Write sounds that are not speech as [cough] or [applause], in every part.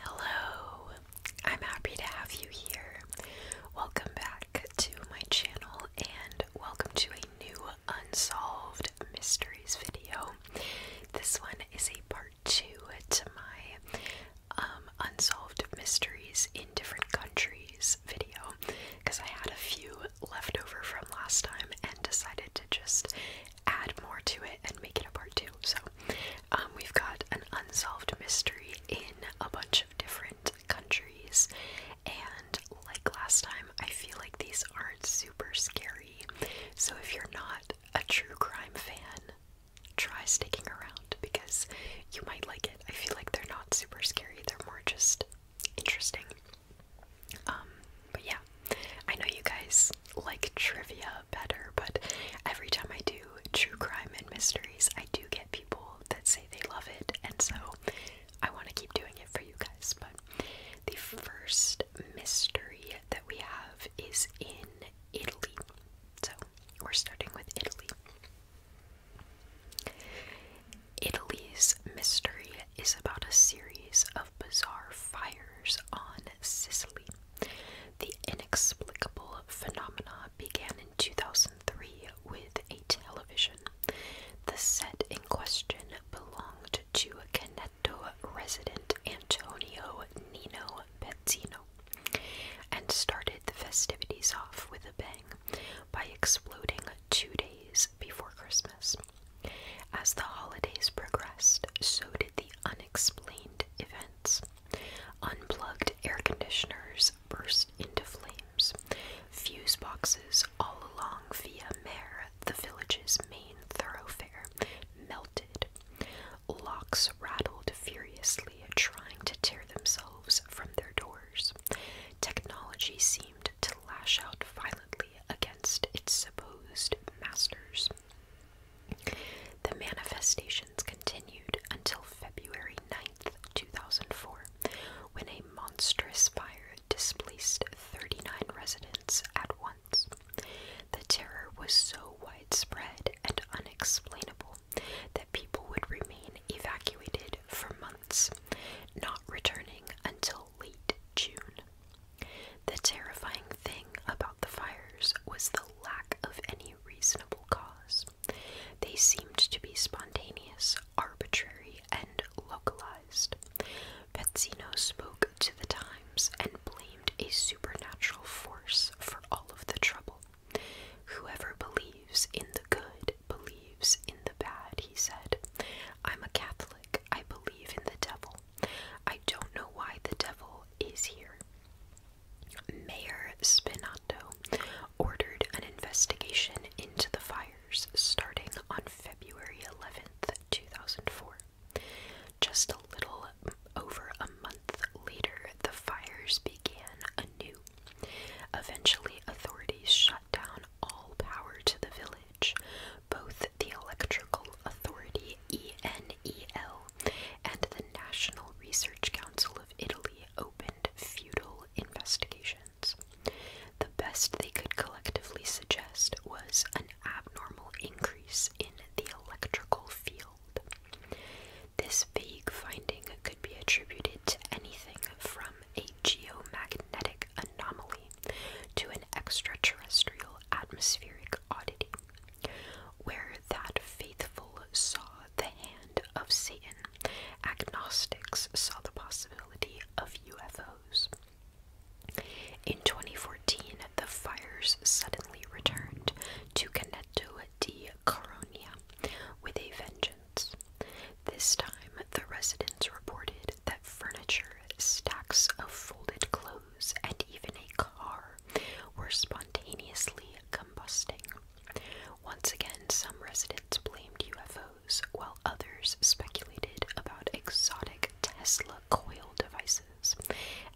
Hello, I'm happy to have you here. Welcome back to my channel and welcome to a new Unsolved Mysteries video. This one is a part two to my um, Unsolved Mysteries in Different Countries video because I had a few left over from last time and decided to just add more to it and make it a part two. So um, we've got an unsolved mystery in a bunch of different countries, and like last time, I feel like these aren't super scary. So if you're not a true crime fan, try sticking around because you might like it. I feel like they're not super scary, they're more just interesting. Um, but yeah, I know you guys like trivia better, but every time I do true crime and mysteries, I do get people that say they love it, and so I want to keep doing it for you guys. But the first mystery that we have is in Italy. So we're starting with Italy. Italy's mystery is about a series of bizarre fires on Sicily. The inexplicable phenomena began in 2003 with a television. The set in question belonged to a Canetto resident Antonio Nino Pezzino and started the festivities off with a bang by exploding two days before Christmas. As the holidays progressed, so did the unexplained events. Unplugged air conditioners burst into flames. Fuse boxes all along Via Mare, the village's main thoroughfare, melted. Locks rattled furiously, trying to tear themselves from their doors. Technology seemed to lash out violently against its supposed masters. The manifestations continued until February 9th, 2004, when a monstrous fire displaced 39 residents at once. The terror was so widespread and unexplainable that people would remain evacuated for months, not returning until late June. The terrifying thing about the fires was the lack of any reasonable cause. They seemed to be spontaneous, arbitrary, and localized. Pezzino spoke to the times and blamed a supernatural force for all of the trouble. Whoever believes in the good believes in the bad, he said. I'm a Catholic. I believe in the devil. I don't know why the devil is here. Mayor Spinato ordered an investigation into the fires starting on February 11th, 2004. Just a little over a month later, the fires began anew. Eventually, authorities shut down all power to the village. Both the Electrical Authority EN NEL and the National Research Council of Italy opened futile investigations. The best they could collectively suggest was an abnormal increase in the electrical field. This vague finding could be attributed to anything from a geomagnetic anomaly to an extraterrestrial atmospheric oddity where that faithful saw the hand of Satan, agnostics saw the possibility of UFOs. In 2014, the fires suddenly returned to Caneto di Coronia with a vengeance. This time, the residents reported that furniture, stacks of folded clothes, and even a car were spontaneously combusting. Once again, some residents blamed UFOs, while others speculated about exotic Tesla coil devices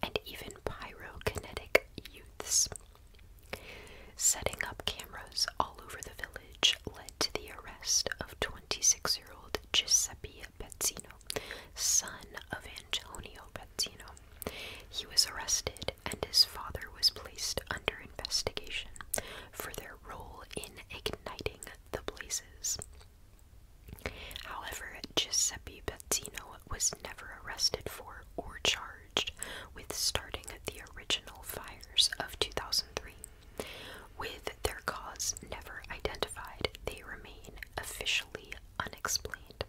and even pyrokinetic youths. Setting up cameras all over the village led to the arrest of 26 year old Giuseppe Pezzino, son of Antonio Pezzino, he was arrested and his father was placed under investigation for their role in igniting the blazes. However, Giuseppe Bettino was never arrested for or charged with starting the original fires of 2003. With their cause never identified, they remain officially unexplained.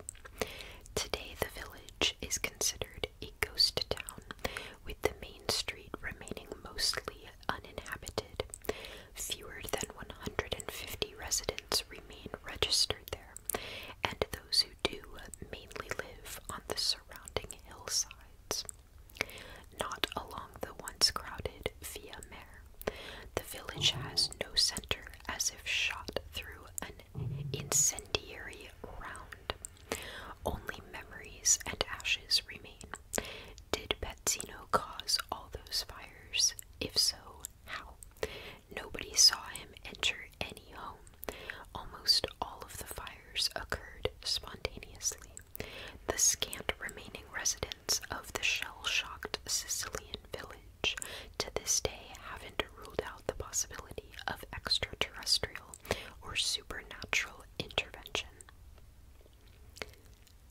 Today, the village is considered a ghost town, with the main street remaining mostly uninhabited. Fewer than 150 residents remain registered there, and those who do mainly live on the surrounding hillsides. Not along the once crowded Via Mare, the village has no center, as if shot through an incendiary round. Only memories and ashes remain. Did Pezzino cause all those fires? If so, how? Nobody saw him enter any home. Almost all of the fires occurred spontaneously. The scant remaining residents of the shell shocked Sicilian village to this day haven't ruled out the possibility of extraterrestrial or supernatural intervention.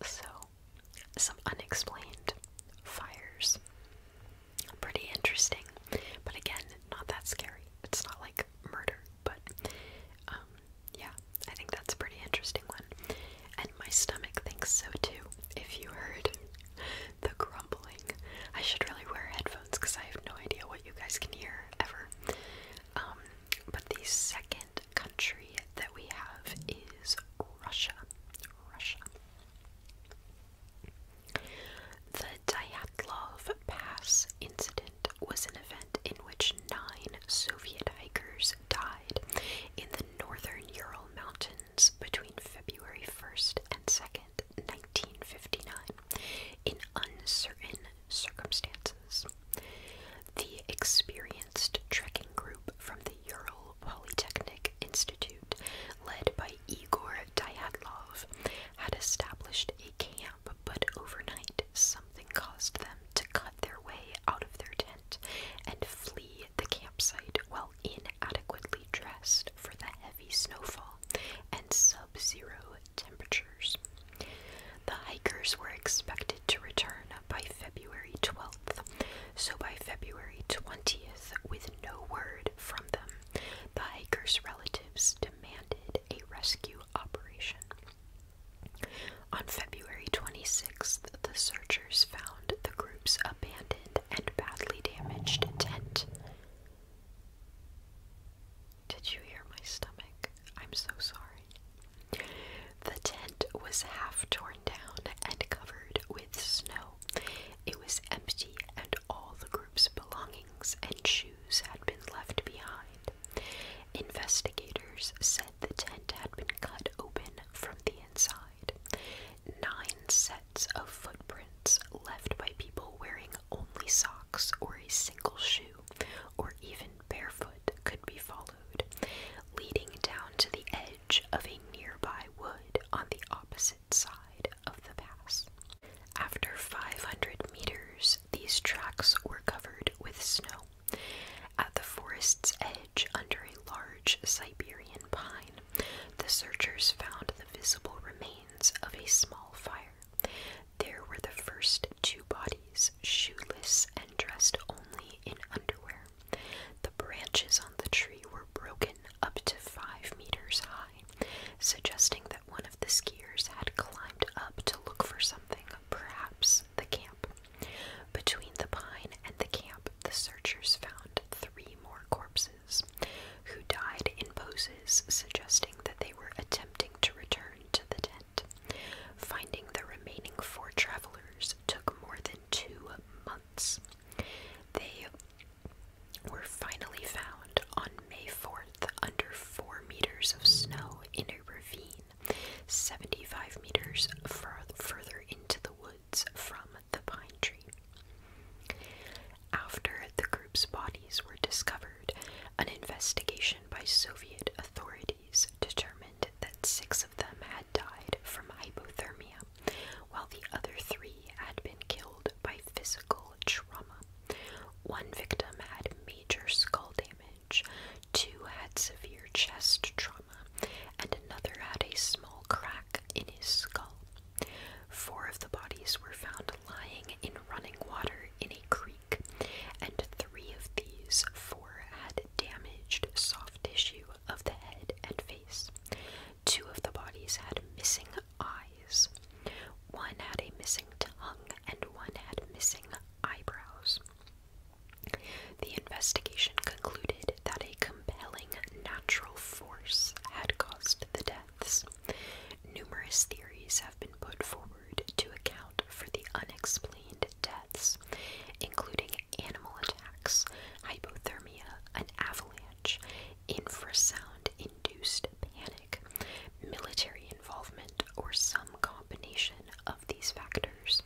So, some unexplained fires. Pretty interesting, but again, not that scary. It's not like murder, but um, yeah, I think that's a pretty interesting one my stomach thinks so too. If you heard the grumbling, I should really wear headphones because I have no idea what you guys can hear ever. Um, but the second country that we have is Russia. Russia. The Dyatlov Pass incident was an event in which nine Soviet hikers died in the northern Ural Mountains between February 1st and 2nd, 1959, in uncertain circumstances. The experienced trekking group from the Ural Polytechnic Institute, led by Igor Dyatlov, had established a camp, but overnight something caused them to cut their way out of their tent and flee the camp campsite while inadequately dressed for the heavy snowfall and sub zero temperatures. The hikers were expected to return by February 12th, so by February 20th, with no word from them, the hikers' relatives demanded a rescue operation. On February 26th, the searchers found the group's abandoned and badly damaged tent. Did you hear my stomach? I'm so sorry. The tent was half torn down and covered with snow. It was empty, and all the group's belongings and shoes had been left behind. Investigators said the tent had been cut open from the inside nine sets of footprints left by people wearing only socks or a single shoe or even barefoot could be followed, leading down to the edge of a nearby wood on the opposite side of the pass. After 500 meters, these tracks were covered with snow. At the forest's edge, under a large Siberian pine, the searchers found the visible remains of a small fire. There were the first two bodies, shoeless and dressed only in underwear. The branches on the tree were broken up to five meters high, suggesting that one of the skiers had climbed up to look for something, perhaps the camp. Between the pine and the camp, the searchers found three more corpses, who died in poses suggesting that they were attempting to return to the tent. Finding the remaining four travelers took more than two months. They were finally found on May 4th under four meters of snow in a ravine, 75 meters further into the woods from the pine tree. After the group's bodies were discovered, an investigation by Soviet authorities determined that six of them had died from hypothermia, while the other three had been killed by physical trauma. One victim had major skull damage, two had severe chest trauma, and another had a small crack in his skull. Four of the bodies were found lying in running water in a creek, and three of these four had damaged soft tissue of the head and face. Two of the bodies had missing eyes, one had a missing tongue, and one had missing eyebrows. The investigation concluded that a compelling natural force had caused the deaths. Numerous theories have been put forward to account for the unexplained deaths, including animal attacks, hypothermia, an avalanche, infrasound induced panic, military involvement, or some combination of these factors.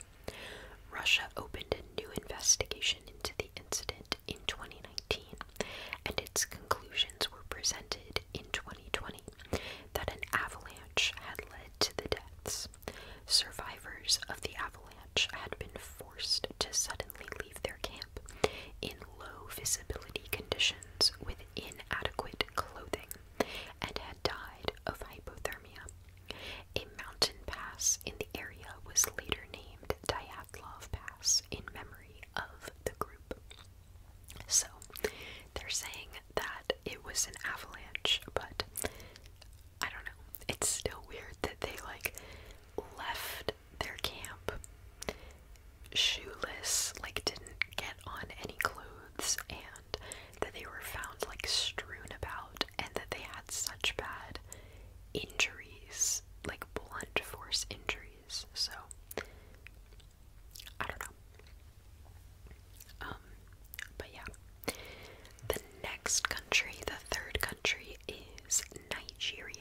Russia opened a new investigation into the incident in 2019, and its conclusions were presented in 2020 that an avalanche had led to the deaths. Survivors of the avalanche had been forced to suddenly leave their camp in low visibility conditions with inadequate clothing and had died of hypothermia. A mountain pass in the area was later named Diablo. Love Pass in memory of the group. So they're saying that it was an avalanche, but I don't know. It's still weird that they like left their camp shoeless, like didn't get on any clothes, and that they were found like strewn about, and that they had such bad injuries, like blunt force injuries. So I don't know. Um, but yeah. The next country, the third country is Nigeria.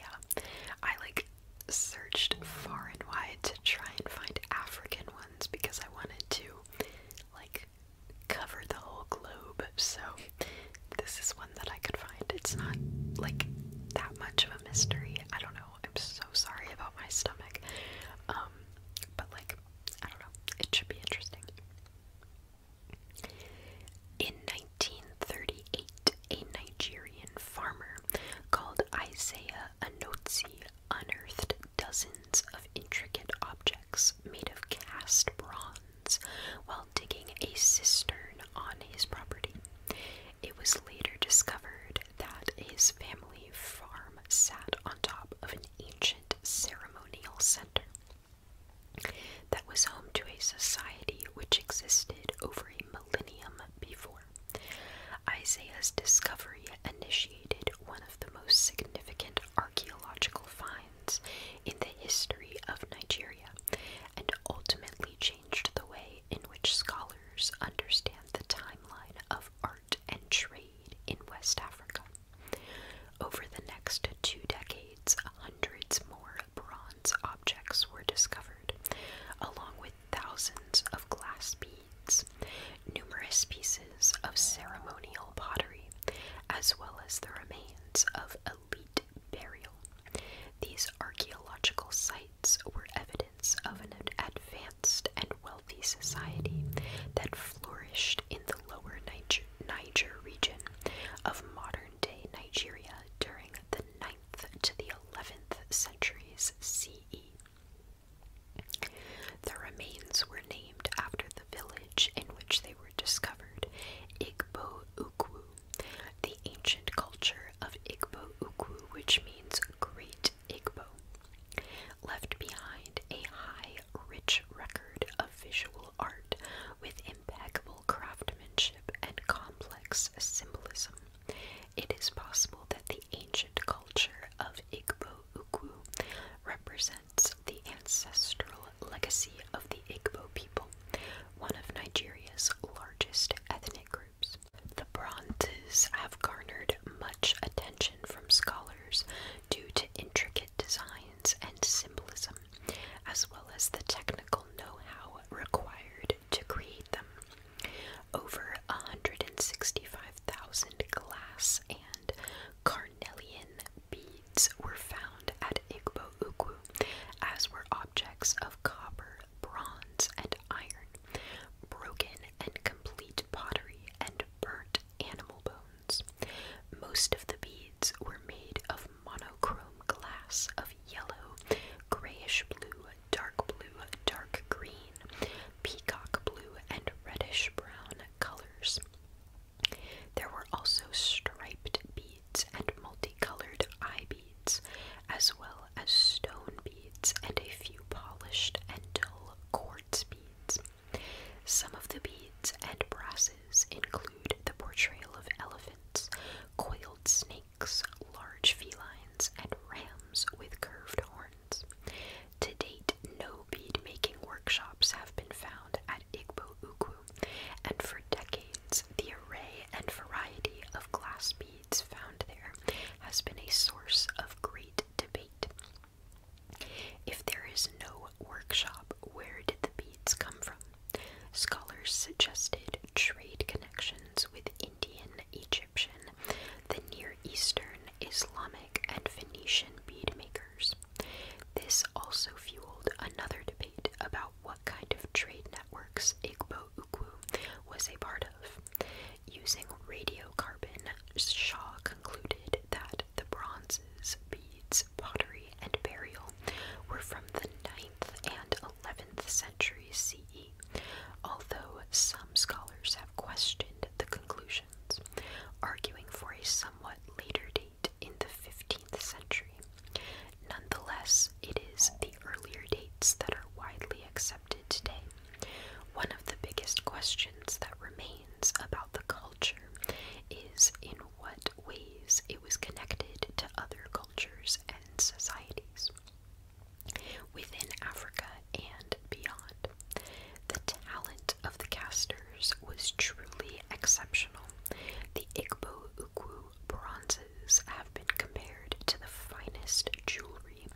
I like searched far and wide to try and find African ones because I wanted to like cover the whole globe. So this is one that I could find. It's not like that much of a mystery. I don't know. I'm so sorry about my stomach. Um, but like, I don't know. It should be interesting. In 1938, a Nigerian farmer called Isaiah Anotsi unearthed dozens of intricate objects made of cast bronze while digging a cistern on his property. It was later discovered that his family farm sat on top of an ancient ceremonial center that was home to a society which existed over a millennium before. Isaiah's discovery initiated one of the most significant archaeological finds in the history of Nigeria and ultimately changed the way in which scholars understand the timeline of art and trade in West Africa. Over the next two decades, hundreds more bronze objects were discovered, along with thousands of glass beads, numerous pieces of ceremonial pottery, as well as the remains of elite burial. These archaeological sites were evidence of an advanced and wealthy society that flourished in the lower Niger, Niger region of modern day Nigeria during the 9th to the 11th centuries CE. The remains were named after the village in which they were discovered, Igbo Ukwu, the ancient culture of Igbo Ukwu, which means Great Igbo, left behind a high, rich record of visual art with impeccable craftsmanship and complex symbolism. It is possible that the ancient culture of Igbo Ukwu represents the ancestral legacy of the Igbo people, one of Nigeria's largest ethnic groups. The bronzes have garnered much attention from scholars due to intricate designs and symbolism, as well as the technical know how required to create them. Over 165,000 glass and carnelian beads were found at Igbo Ukwu, as were objects of copper, bronze, and iron, broken and complete pottery, and burnt animal bones. Most of the beads were made of monochrome glass of yellow, grayish blue, dark blue, dark green, peacock blue, and reddish brown colors. There were also striped beads and multicolored eye beads, as well as stone beads and a few polished and dull quartz beads. Some of the beads and brasses include the portrayal of elephants, coiled snakes, large felines, and rams with curved horns. To date, no bead making workshops have been found at Igbo Ukwu and for decades, the array and variety of glass beads found there has been a source of great debate. If there is no workshop, where did the beads come from? Scholars suggested trade connections with Indian, Egyptian, the Near Eastern, Islamic, and Venetian bead makers. This also fueled another debate about what kind of trade networks Igbo Ukwu was a part of. Using radiocarbon, Shaw concluded that the bronzes, beads, pottery, and burial were from the 9th and 11th centuries CE, although some scholars have questioned the conclusions, arguing for a somewhat later date in the 15th century. Nonetheless, it is the earlier dates that are widely accepted today. One of the biggest questions that remains about the culture is in what ways it was connected to other cultures and societies within Africa and beyond. The talent of the casters was truly exceptional. The Igbo Ukwu bronzes have been compared to the finest jewelry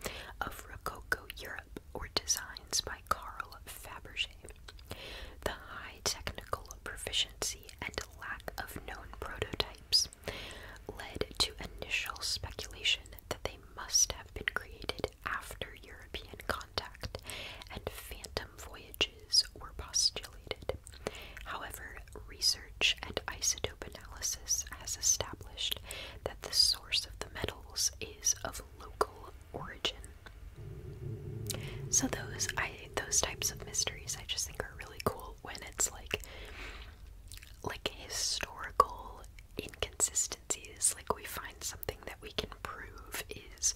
of Rococo Europe or designs by Carl Fabergé. The high technical proficiency and lack of known prototypes led to initial speculation that they must have been created after European contact and phantom voyages were postulated. However, research and isotope analysis has established that the source of the metals is of local origin. So those I those types of mysteries I just think are really cool when it's like like historical inconsistencies, like we find something that we can prove is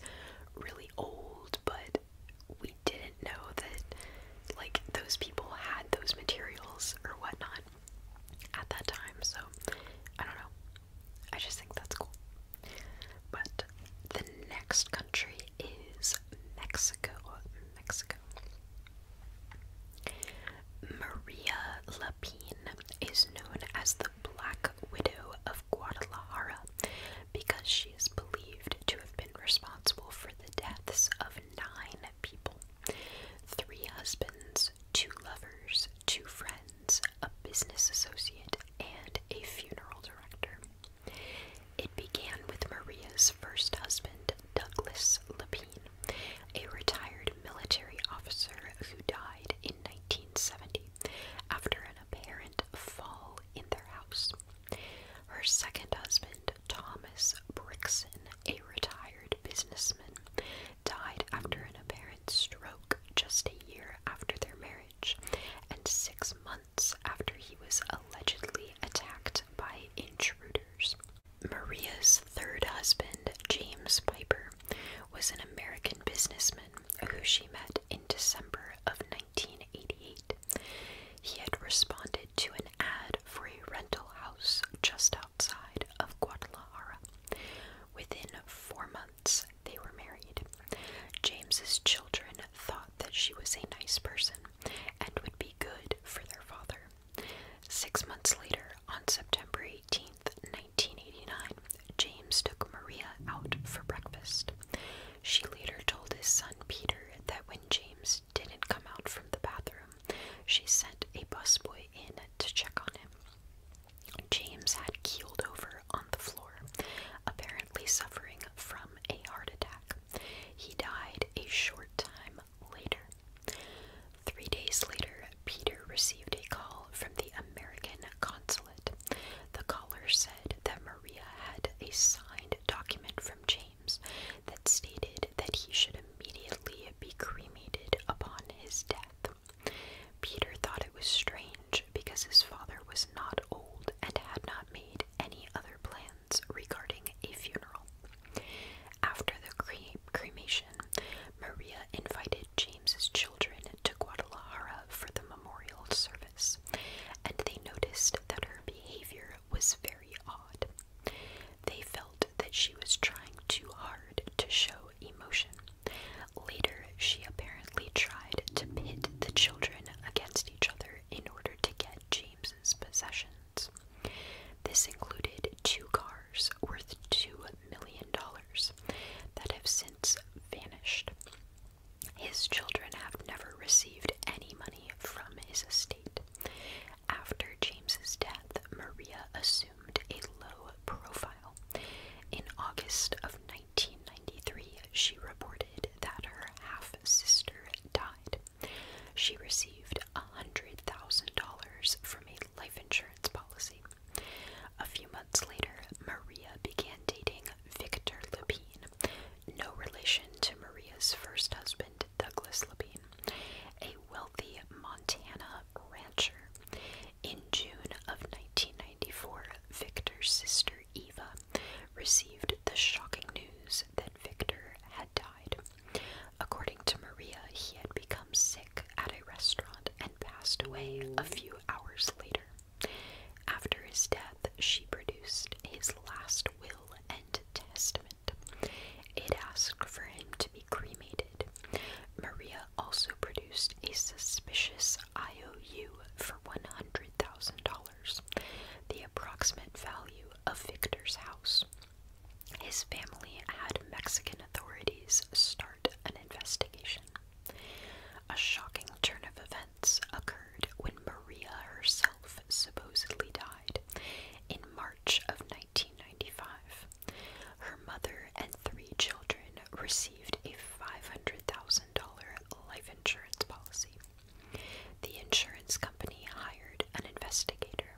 really old but we didn't know that like those people had those materials or whatnot at that time. So I don't know. I just think that's cool. But the next country is Mexico. Mexico. Maria Lapine is known as the Black Widow Guadalajara because she is believed to have been responsible for the deaths of nine people three husbands, two lovers, two friends, a business associate, and a funeral director. It began with Maria's first husband, Douglas Lapine, a retired military officer who died in 1970 after an apparent fall in their house. Her second husband, Thomas Brixen, a retired businessman, died after an apparent stroke just a year after their marriage and six months after he was allegedly attacked by intruders. Maria's third husband, James Piper, was an American businessman who she met in December of 1988. He had responded to an ad for a rental house just outside of Guadalajara. Within four months, they were married. James's children thought that she was a nice person and would be good for their father. Six months later, on September 18, 1989, James took Maria out for breakfast. She later told his son Peter that when James didn't come out from the bathroom, she sent a busboy in to check on him. James had keeled over on the floor, apparently suffering from a heart attack. He died a short time later. Three days later, Peter received a call from the American consulate the caller said that Maria had a signed document from James that stated that he should immediately be cremated upon his death. Peter thought it was strange because his father was not old and had not made any other plans regarding a funeral. After the cremation, Maria invited James's children to Guadalajara for the memorial service and they noticed that her behavior was very odd. They felt that she was trying too hard to show emotion. Later, she apparently tried to pit the children against each other in order to get James's possessions. This included two cars worth $2 million that have since vanished. His children have never received any money from his estate. After James's death, Maria assumed a low profile. In August of 1993, she reported that her half sister died. She received a $100,000 from a life insurance policy. A few months later, Maria began dating Victor Lupin no relation to Maria's first husband, Douglas Labine, a wealthy Montana rancher. In June of 1994, Victor's sister Eva received the shocking news that Victor had died. According to Maria, he had become sick at a restaurant and passed away a few hours later. After his death, she produced his last will and testament. It asked for him to be cremated. Maria also produced a suspicious IOU for $100,000, the approximate value of Victor's house. His family had Mexican authorities start an investigation. A shocking turn of events occurred when Maria herself supposedly died in March of 1995. Her mother and three children received a $500,000 life insurance policy. The insurance company hired an investigator,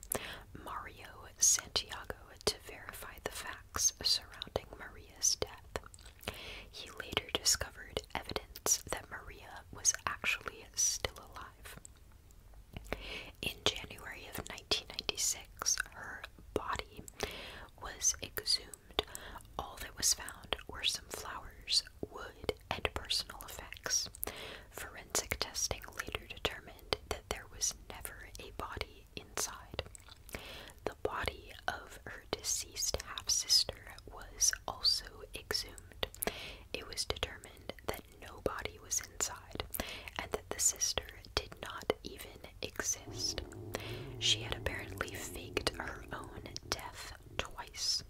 Mario Santiago, to verify the facts surrounding Maria's death. He later discovered evidence that Maria was actually still alive. In January of 1996, her body was exhumed. All that was found were some flowers, wood, and personal effects. Forensic testing later determined that there was never a body inside. The body of her deceased half sister was also exhumed. It was determined that no body was inside and that the sister did not even exist. She had apparently faked her own death twice.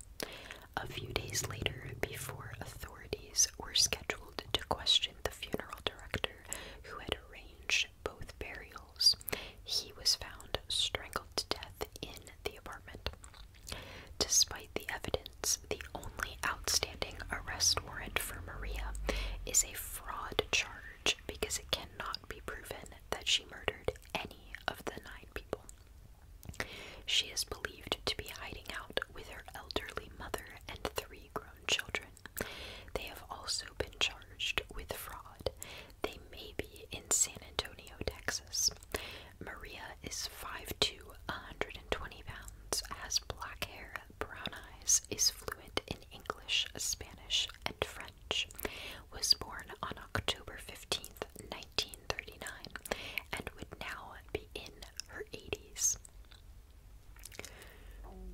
A few days later, before authorities were scheduled to question the funeral director who had arranged both burials, he was found strangled death in the apartment. Despite the evidence, the only outstanding arrest warrant for Maria is a fraud charge because it cannot be proven that she murdered any of the nine people. She is believed to be hiding out with her elderly mother and three grown children. They have also been charged with fraud they may be in San Antonio, Texas. Maria is 5'2, 120 pounds, has black hair, brown eyes, is fluent in English, Spanish, and French. Was born on October fifteenth, nineteen 1939, and would now be in her 80s.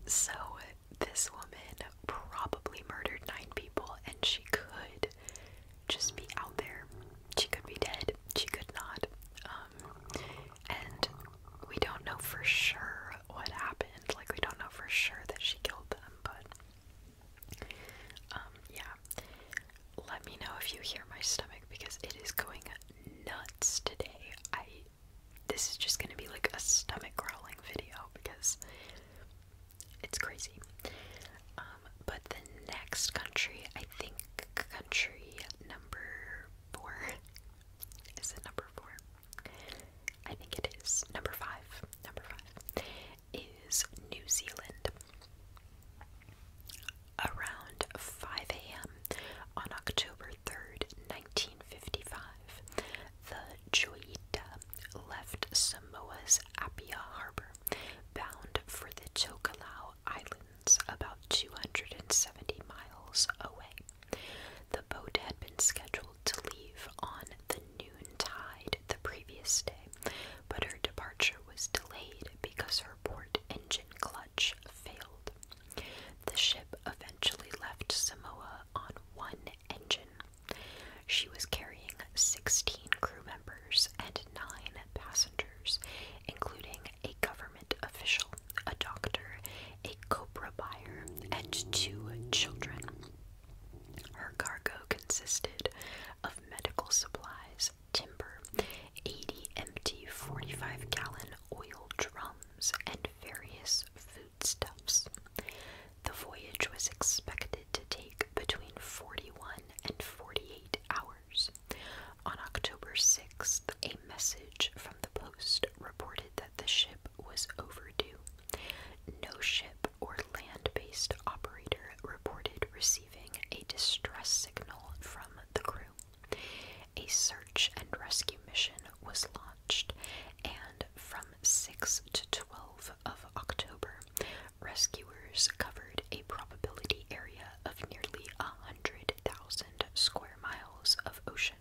So, this woman probably murdered nine people, and she could just be out there. She could be dead, she could not. Um, and we don't know for sure what happened. Like, we don't know for sure that she killed them, but um, yeah. Let me know if you hear my stomach because it is going nuts today. I this is just gonna be like a stomach growling video because it's crazy. Um, but the next country, I think country number four. Is it number four? I think it is. Number five. Number five is New Zealand. Around 5 a.m. on October 3rd, 1955, the Joyita left Samoa's Apia Harbor bound for the Chocilau Islands, about 270 miles away. The boat had been scheduled to leave on the noon tide the previous day, but her departure was delayed because her port engine clutch failed. The ship eventually left Samoa on one engine she was carrying 16 crew members and 9 passengers, including a government official, a doctor, a copra buyer, and two children. Her cargo consisted of medical supplies, timber, 80 empty 45 gallon oil drums, and various foodstuffs. The voyage was expected to take between 41 and 48 hours. On October 6th, a message from the post reported that the ship was overdue. No ship or land based operator reported receiving a distress signal from the crew. A search and rescue mission was launched, and from 6 to 12 of October, Rescuers covered a probability area of nearly 100,000 square miles of ocean,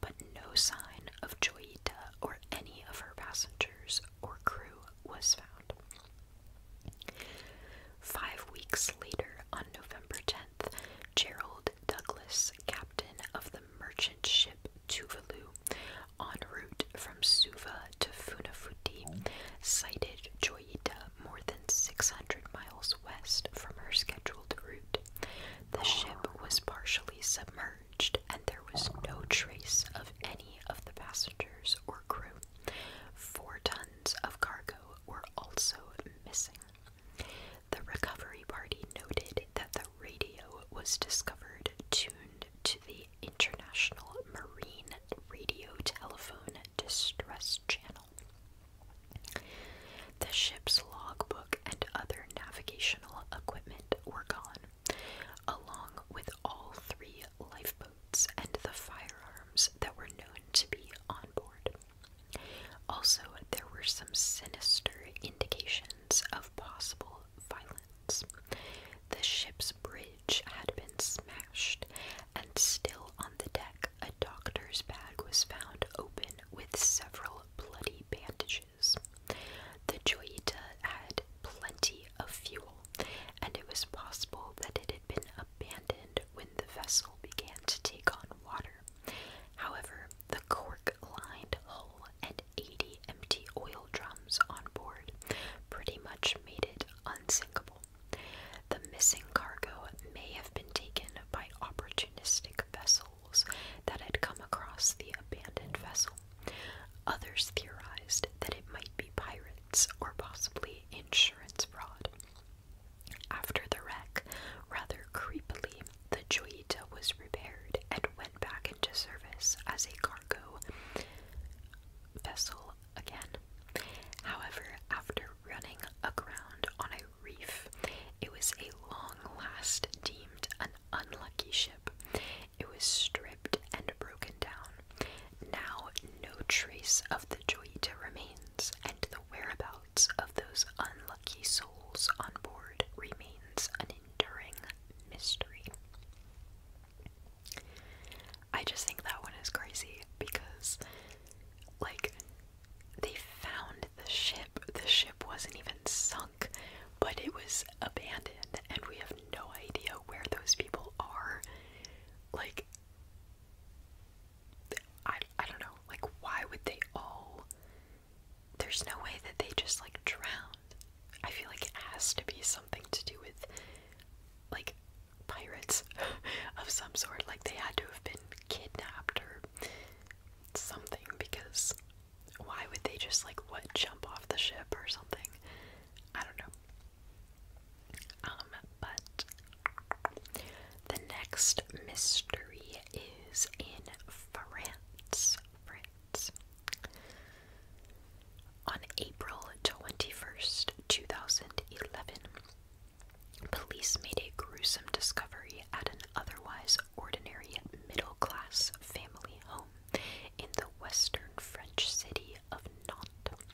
but no sign of Joyita or any of her passengers or crew was found. Five weeks later, on November 10th, Gerald Douglas, captain of the merchant ship Tuvalu, En route from Suva to Funafuti, sighted Joyita more than 600 miles west from her scheduled route. The ship was partially submerged, and there was no trace of any of the passengers or crew. Four tons of cargo were also missing. The recovery party noted that the radio was discovered tuned to the International Marine Radio Telephone Distress Channel. The ship's logbook and other navigational equipment were gone, along with all three lifeboats and the firearms that were known to be on board. Also, there were some sinister indications of possible violence. The ship's bridge had been smashed, and still on the deck, a doctor's bag was found open with several bloody bandages. The Joyita had plenty of fuel, and it was possible that it had been abandoned when the vessel began to take on water. However, the cork lined hull and 80 empty oil drums on board, pretty much made it unsinkable. The missing cargo may have been taken by opportunistic vessels that had come across the abandoned vessel. Others theorized that it might be pirates or possibly insurance fraud. After the wreck, rather creepily, the Joyita was repaired and went back into service as a cargo vessel again. However, after running aground on a reef, it was a long last deemed an unlucky ship. It was stripped and broken down. Now, no trace of the Joyita remains, and the whereabouts of those unlucky souls on board remains an enduring mystery. I just think that one is crazy because, like, they found the ship. The ship wasn't even sunk, but it was abandoned, and we have no idea where those people are. Like, I, I don't know. Like, why would they all. There's no way that they just, like, drowned. I feel like it has to be something to do with like pirates [laughs] of some sort. Like they had to have been kidnapped or something because why would they just like what jump off the ship or something? I don't know. Um, but the next mystery is in France. France. On April 21st, 2011, police made a gruesome discovery at an otherwise ordinary middle class family home in the western French city of Nantes.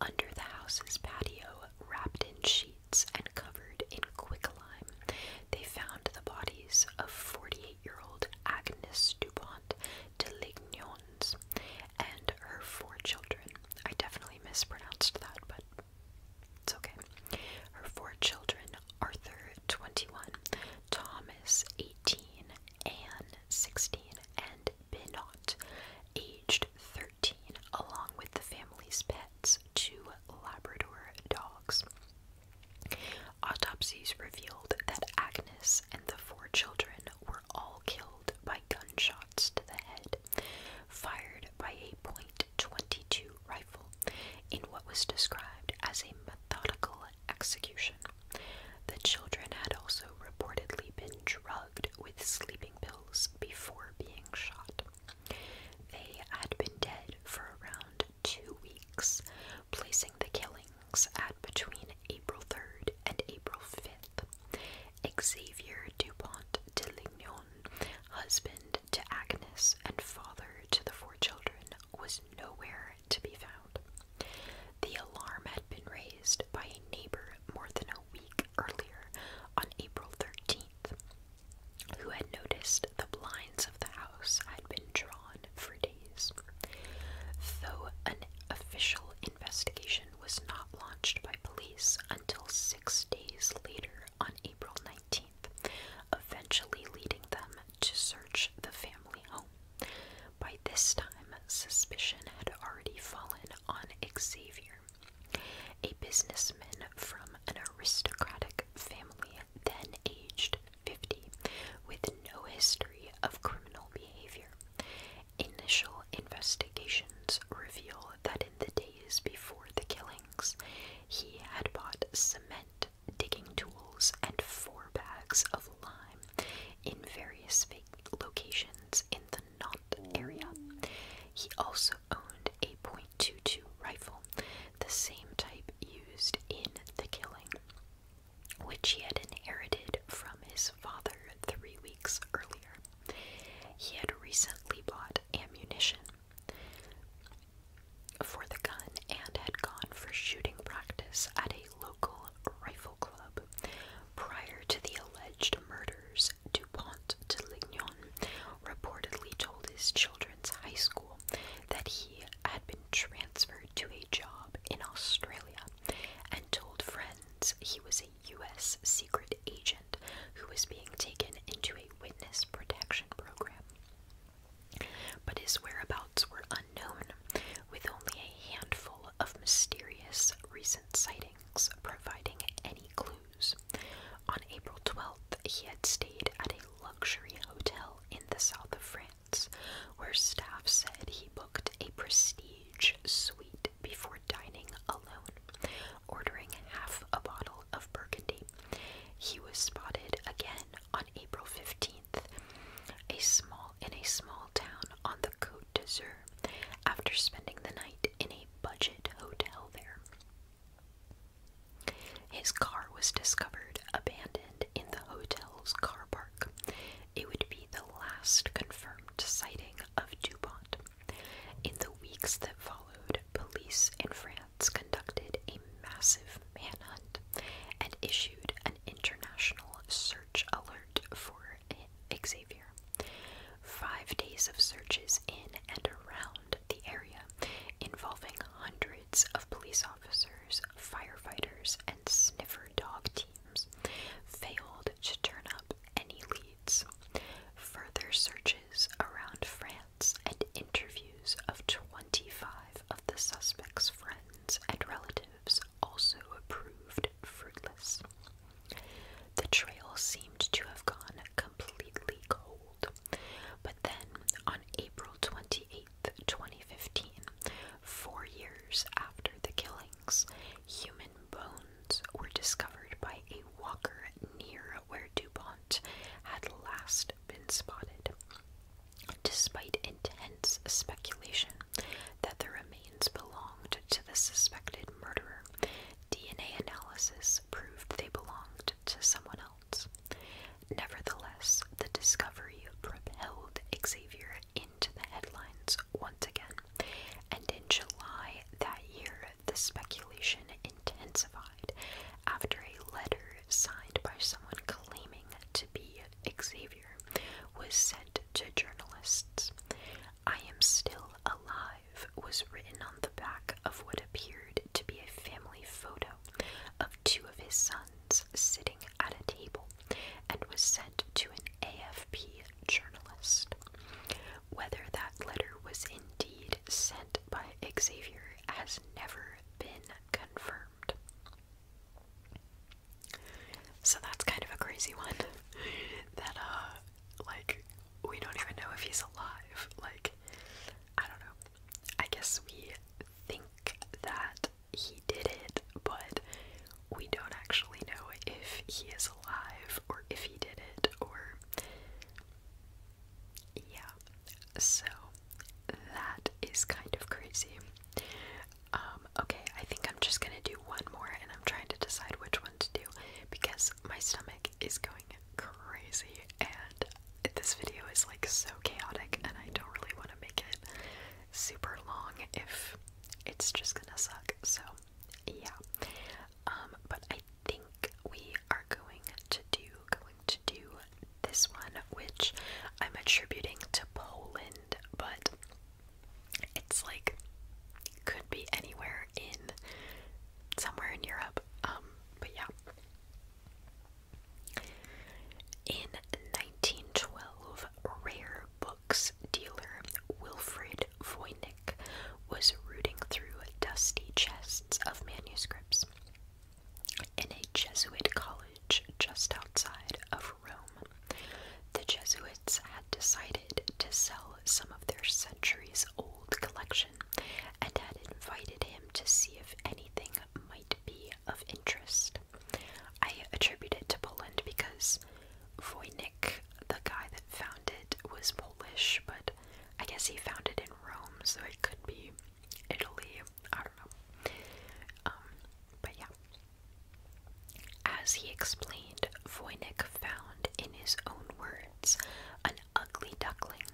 Under the house's patio, wrapped in sheets and covered in quicklime, they found the bodies of 48 year old Agnes Dupont Delignons, and her four children. I definitely mispronounced that, but it's okay. Her four children Arthur, 21, Thomas, 18, Anne, 16, and Binot, aged 13, along with the family's pets, two Labrador dogs. Autopsies revealed that Agnes and the four children were all killed by gunshots to the head, fired by a .22 rifle in what was described as a methodical execution. The children had also reportedly been drugged with sleeping pills before being shot. They had been dead for around two weeks placing the killings at between April 3rd and April 5th. Xavier Dupont de Lignon, husband to Agnes and father to the four children, was nowhere to be found. The alarm had been raised by a neighbor more than a week earlier on April 13th, who had noticed the blinds of the house had been drawn for days. Though an official investigation was not launched by police until six days later on April 19th, eventually leading them to search the family home. By this time, suspicion had already fallen on Xavier, a businessman from an aristocratic family then aged 50 with no history of criminal behavior. Initial investigations reveal that in the days before the killings, he had bought cement, digging tools, and four bags of lime in various locations in the Nantes area. He also owned a .22 rifle, the same type used in the killing which he had inherited from his father three weeks earlier. He had recently bought ammunition for the gun and had gone for shooting practice at a local rifle club. Prior to the alleged murders, DuPont de Lignon reportedly told his children's high school that he had been transferred to a job in Australia and told friends he was a U.S. secret agent who was being taken into a witness protection program. But his whereabouts were unknown, with only a handful of mysterious recent sightings providing any clues. On April 12th, he had stayed at a luxury hotel in the south of France where staff said he booked a prestige suite before dining alone, ordering half a bottle of burgundy. He was spotted again on April 15th, a small in a small town on the Côte d'Azur, after spending the night in a budget hotel there. His car was discovered abandoned in the hotel's car park. It would be the last confirmed sighting of DuPont. In the weeks that followed, police in France conducted a massive manhunt and issued an international search alert for Xavier. Five days of searches in and around the area involving hundreds of police officers firefighters, and sniffer dog teams failed to turn up any leads. Further searches around France and interviews of 25 of the suspect's friends and relatives also proved fruitless. The trail seemed to have gone completely cold, but then on April 28, 2015, four years after the killings, human bones were discovered by a walker near where DuPont had last been spotted. Despite intense speculation that the remains belonged to the suspected murderer, DNA analysis proved they belonged to someone else. Nevertheless, the discovery propelled Xavier into the headlines once again. And in July that year, the speculation intensified after a letter signed by someone claiming to be Xavier was sent to journalists. I am still alive was written on the back of what appeared to be a family photo of two of his sons sitting at a table and was sent to an AFP journalist. Whether that letter was indeed sent by Xavier has never been confirmed. So that's kind of a crazy one [laughs] that, uh, like, we don't even know if he's alive. Like, I don't know. I guess we think that he did it, but we don't actually know if he is alive or if he did it or. Yeah, so that is kind of crazy. Um, okay, I think I'm just gonna do one more and I'm trying to decide which one to do because my stomach is going crazy and this video is like so chaotic and I don't really want to make it super long if it's just gonna suck. So, yeah. Um, but I think we are going to do going to do this one, which I'm attributing to Poland, but it's like could be anywhere in somewhere in Europe. Um, but yeah. In 1912, rare books dealer Wilfred Voynich was rooting through dusty chests of manuscripts in a Jesuit college just outside of Rome. The Jesuits had decided to sell some of their centuries old collection and had invited him to see if anything might be of interest. I attribute it to Poland because Wojnik, the guy that found it, was Polish, but I guess he found it in Rome, so it could be Italy. I don't know. Um, but yeah. As he explained, Voynich found, in his own words, an ugly duckling,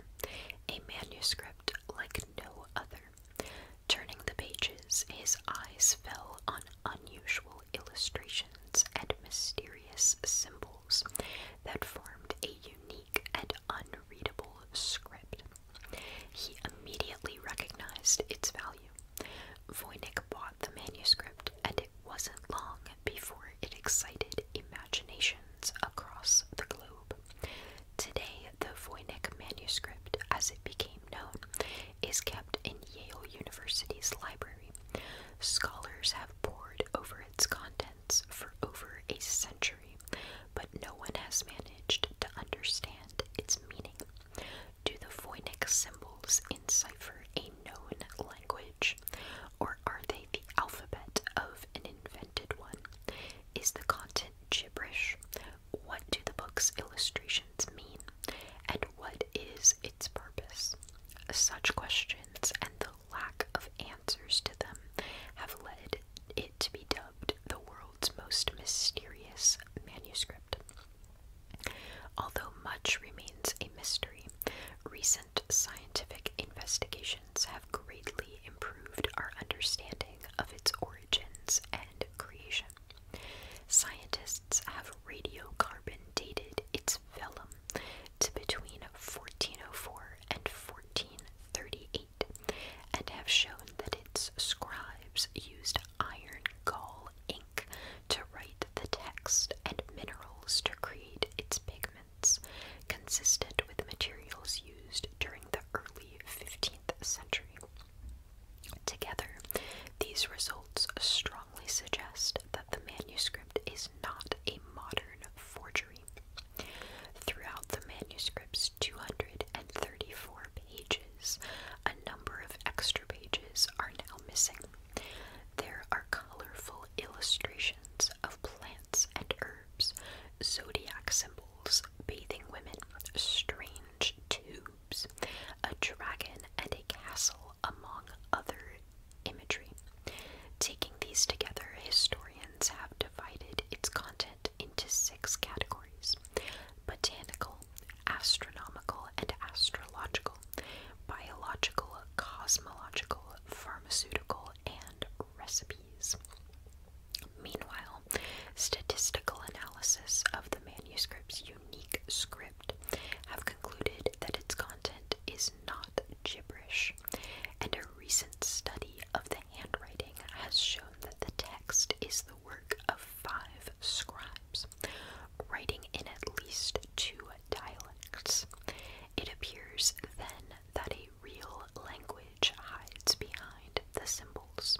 a manuscript like no other. Turning the pages, his eyes fell on unusual illustrations and mysterious symbols that formed a unique and unreadable script. He immediately recognized its value. Voynich bought the manuscript, and it wasn't long before it excited imaginations across the globe. Today, the Voynich manuscript, as it became known, is kept in Yale University's library. Scholars have pored over its contents for over a century, but no one has managed to understand its meaning. Do the Voynich symbols encipher a known language, or are they the alphabet of an invented one? Is the content gibberish, what do the book's illustrations mean? And what is its purpose? Such questions and the lack of answers to them have led it to be dubbed the world's most mysterious manuscript. Although much remains a mystery, recent scientific investigations have greatly improved our understanding of its origins and creation. Scientists have radiocarbon dated its vellum to between 1404 and 1438 and have shown that its scribes used iron gall ink to write the text and minerals to create its pigments, consistent with materials used during the early 15th century. Together, these results strongly suggest that the manuscript is not a modern forgery. Throughout the manuscript's 234 pages, a number of extra pages are now missing. There are colorful illustrations of plants and herbs, zodiac symbols, bathing women, strange too a dragon, and a castle, among other imagery. Taking these together, historians have divided its content into six categories botanical, astronomical and astrological, biological, cosmological, pharmaceutical, and recipes. Meanwhile, statistical analysis of the manuscript's unique script have concluded that its content is not gibberish, and a recent study of the handwriting has shown that the text is the work of five scribes, writing in at least two dialects. It appears then that a real language hides behind the symbols.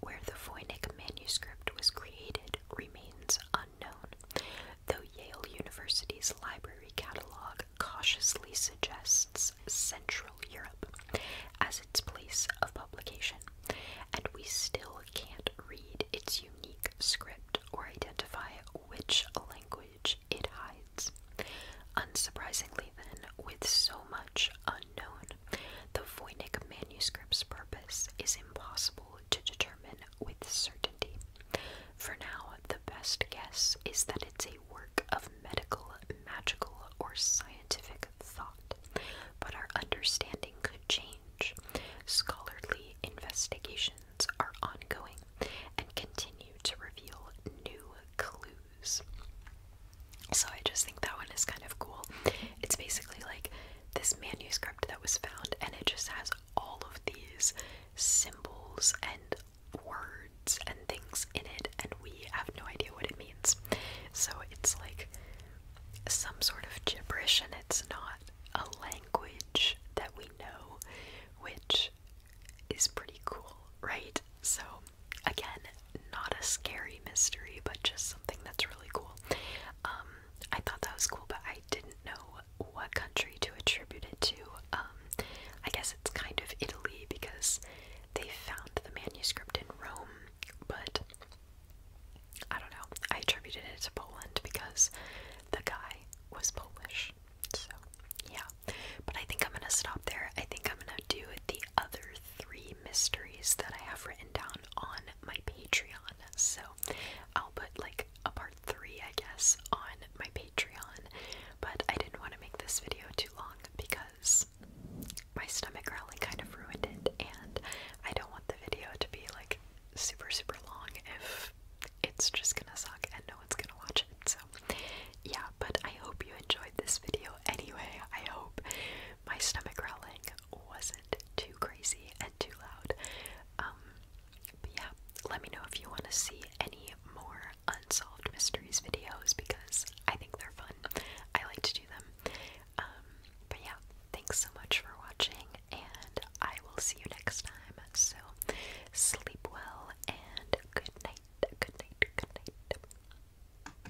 Where the Voynich manuscript was created remains unknown, though Yale University's library catalog cautiously suggests Central Europe as its place of publication, and we still can't read its unique script or identify which language it hides. Unsurprisingly, then, with so much unknown, the Voynich manuscript's purpose is impossible to determine with certainty. For now, the best guess is that it's a work of medical, magical, or scientific thought, but our understanding could change. Scholarly investigations are ongoing and continue to reveal new clues. So I just think that one is kind of cool. It's basically like this manuscript that was found, and it just has all of these symbols and words and things in it, and we have no idea what it means. So it's like some sort of gibberish, and it's not a language that we know, which is pretty cool, right? So again, not a scary mystery, but just something that's really cool. Um, I thought that was cool, but I didn't know what country to attribute it to. Um, I guess it's kind of Italy because they found the manuscript in Rome, but I don't know. I attributed it to Poland because the guy was Polish. So, yeah. But I think I'm gonna stop there. I think I'm gonna do the other three mysteries that I have written down on my Patreon. So I'll put like a part three, I guess, on my Patreon. But I didn't want to make this video too long because my stomach growling kind of ruined it, and I don't want the video to be like super, super long if it's just gonna suck and no one's gonna watch it. So, yeah, but I hope you enjoyed this video anyway. I hope my stomach growling wasn't too crazy and too loud. Um, but yeah, let me know if you want to see any more unsolved mysteries videos because I think they're fun. I like to do them. Um, but yeah, thanks so much for watching, and I will see you next time. So sleep well and good night. Good night. Good night.